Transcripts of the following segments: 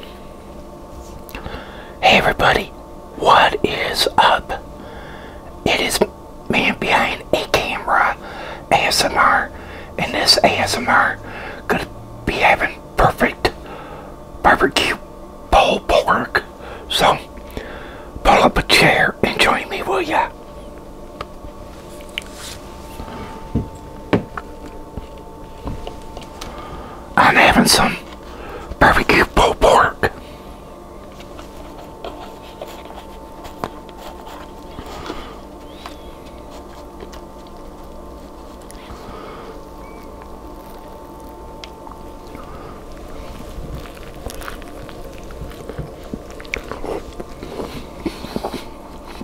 Hey everybody, what is up? It is man behind a camera ASMR and this ASMR gonna be having perfect barbecue pulled pork. So pull up a chair and join me will ya? I'm having some barbecue pulled pork.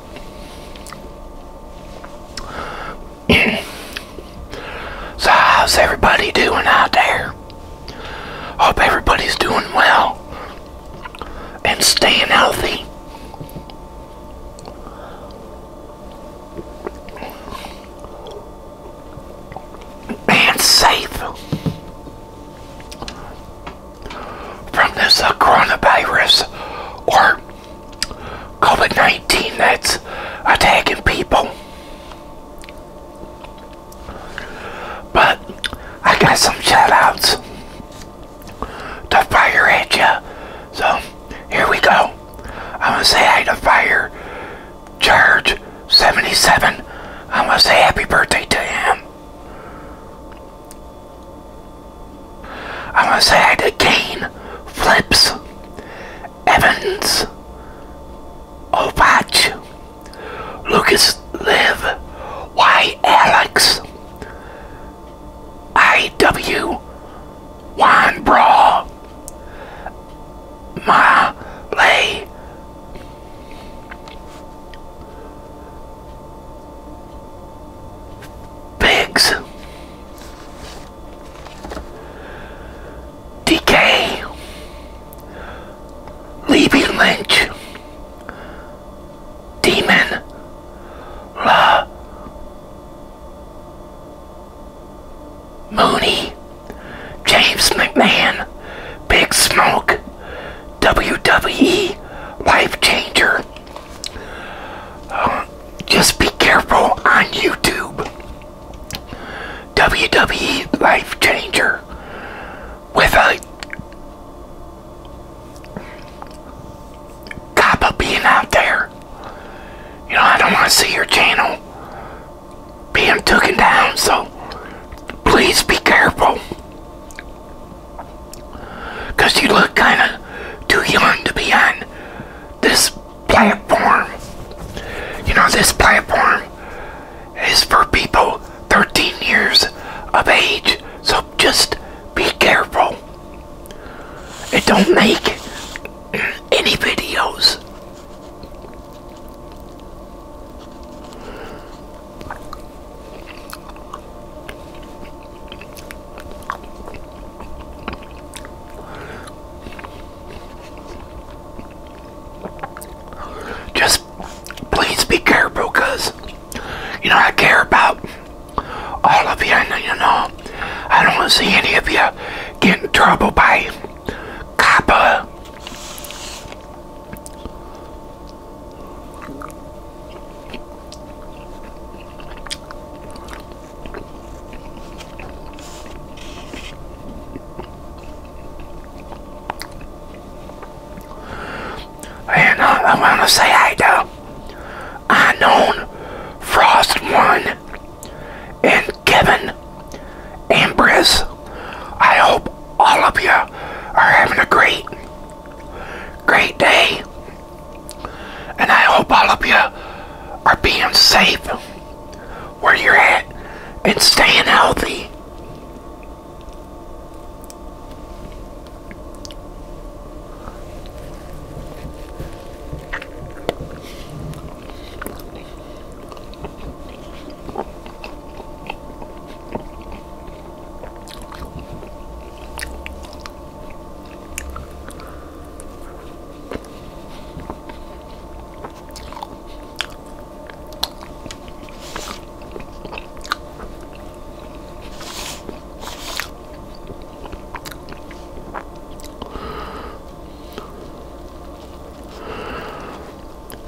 so how's everybody doing out there? Hope everybody's doing well and staying healthy. And safe from this coronavirus or COVID 19 that's attacking people. But I got some shoutouts. outs to fire at ya. So here we go. I'm going to say hi to Fire Charge 77. I'm going to say happy birthday to him. I'm going to say I did Kane, Flips, Evans, Opach, Lucas Live, Y Alex, IW, Juan Brawl, Ma Lay, Pigs. Decay. Levy Lynch. Demon. La. Mooney. James McMahon. Big Smoke. WWE Life Changer. Um, just be careful on YouTube. WWE Life Changer with a cop being out there. You know, I don't want to see your channel being taken down, so please be careful. Because you look kind of too young to be on this platform. You know, this platform is for people 13 years of age. So just be careful. And don't make any videos. Just please be careful because, you know, I care about all of you, you know, I don't want to see any of you get in trouble by COPPA. And I, I want to say hi to Unknown Frost One and Kevin Ambrose. I hope all of you are having a great great day, and I hope all of you are being safe where you're at and staying healthy.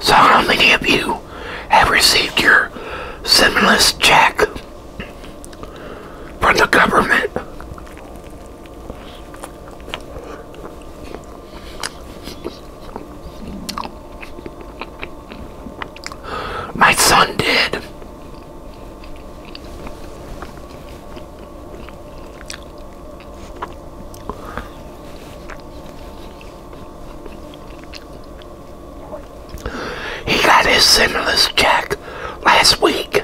So, how many of you have received your stimulus check? from the government. My son did. He got his stimulus check last week.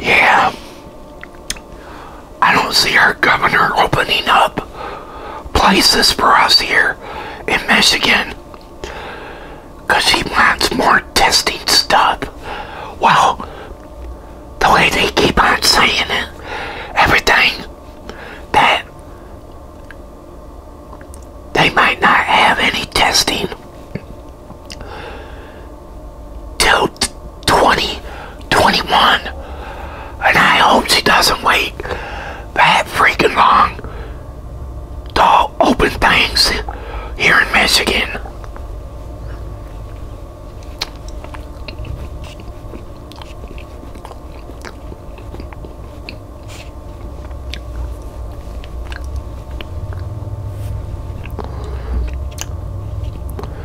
yeah. I don't see our governor opening up places for us here in Michigan because he wants more testing stuff. Well, the way they keep on saying it, everything that they might not have any testing till 20. 21. And I hope she doesn't wait that freaking long to open things here in Michigan.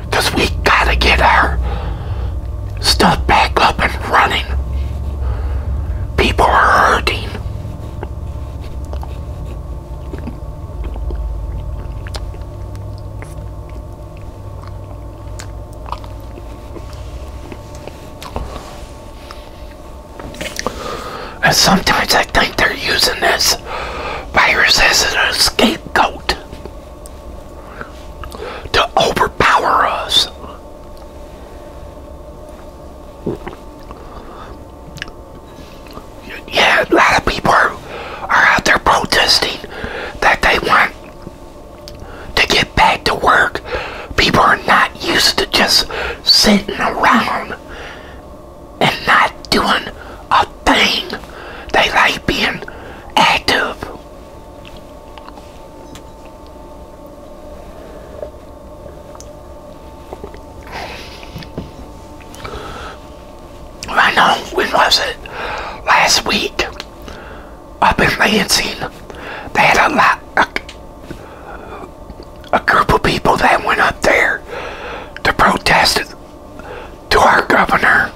Because we got to get our stuff back up and running. People are hurting. And sometimes I think they're using this virus as an scapegoat to overpower us. Yeah, a lot of people are, out there protesting that they want to get back to work. People are not used to just sitting around and not doing a thing. They like being active. I know when was it uh, last week I've been Lansing they had a lot a group of people that went up there to protest to our governor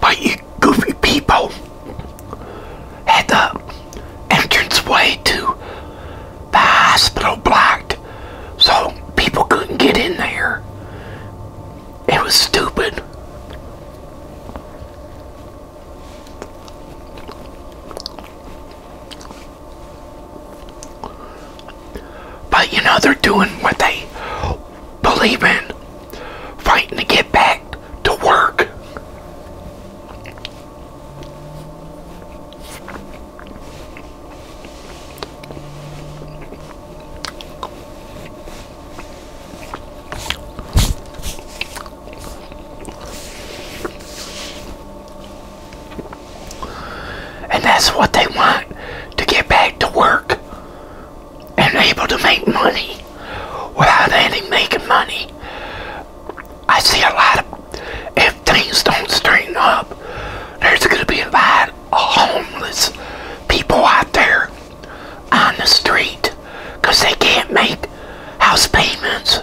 but you goofy people had the entrance way to the hospital blocked so people couldn't get in there. It was stupid. But you know, they're doing what they believe in, fighting to get back to work. And that's what they want to get back to work and able to make money without any making money. I see a lot of, if things don't straighten up, there's going to be a lot homeless people out there on the street because they can't make house payments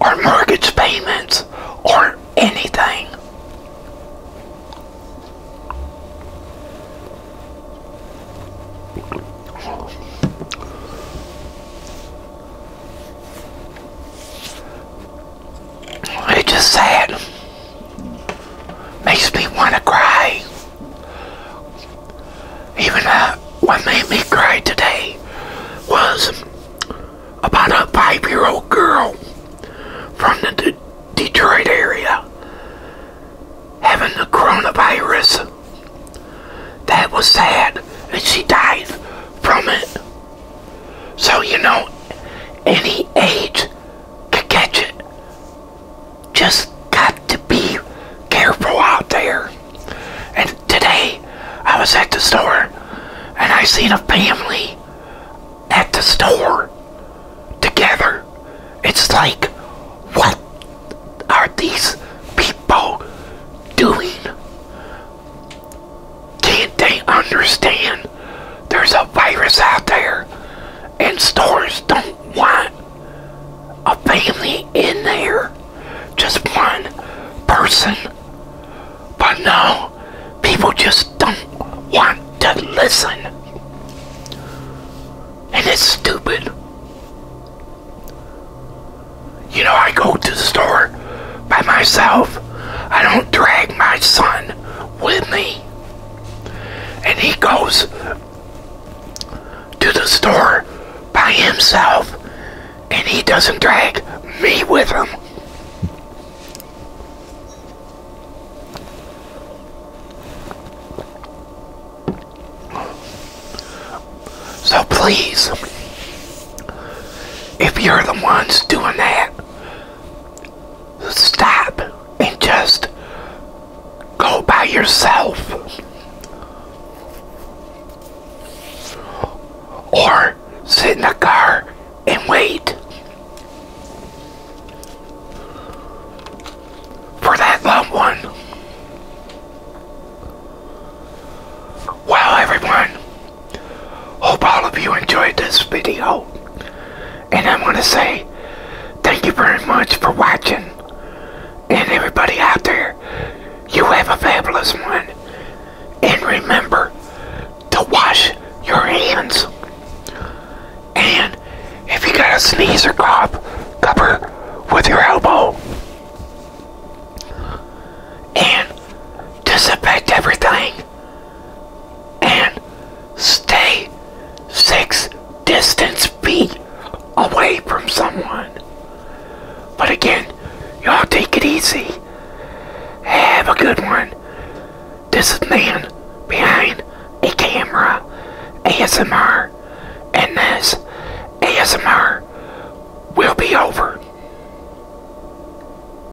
or mortgage payments or anything. It's just sad. Makes me want to cry. Even uh, what made me cry today was about a five-year-old girl from the Detroit area having the coronavirus. That was sad, and she died from it. So, you know, any age can catch it. Just got to be careful out there. And today, I was at the store, and I seen a family at the store together. It's like, what are these people doing? Can't they understand there's a virus out there and stores don't want a family in there? Just one person. But no, people just don't want to listen. And it's stupid. You know, I go to the store by myself. I don't drag my son with me. And he goes to the store by himself and he doesn't drag me with him. So please, if you're the ones doing that, stop and just go by yourself. Or sit in the car and wait for that loved one. Well, everyone, Hope all of you enjoyed this video. And I'm going to say thank you very much for watching. And everybody out there, you have a fabulous one. And remember to wash your hands. And if you got a sneeze or cough, cover with your elbow. And disinfect everything and stay six distance feet away from someone. But again, y'all take it easy. Have a good one. This is man behind a camera ASMR and this ASMR will be over.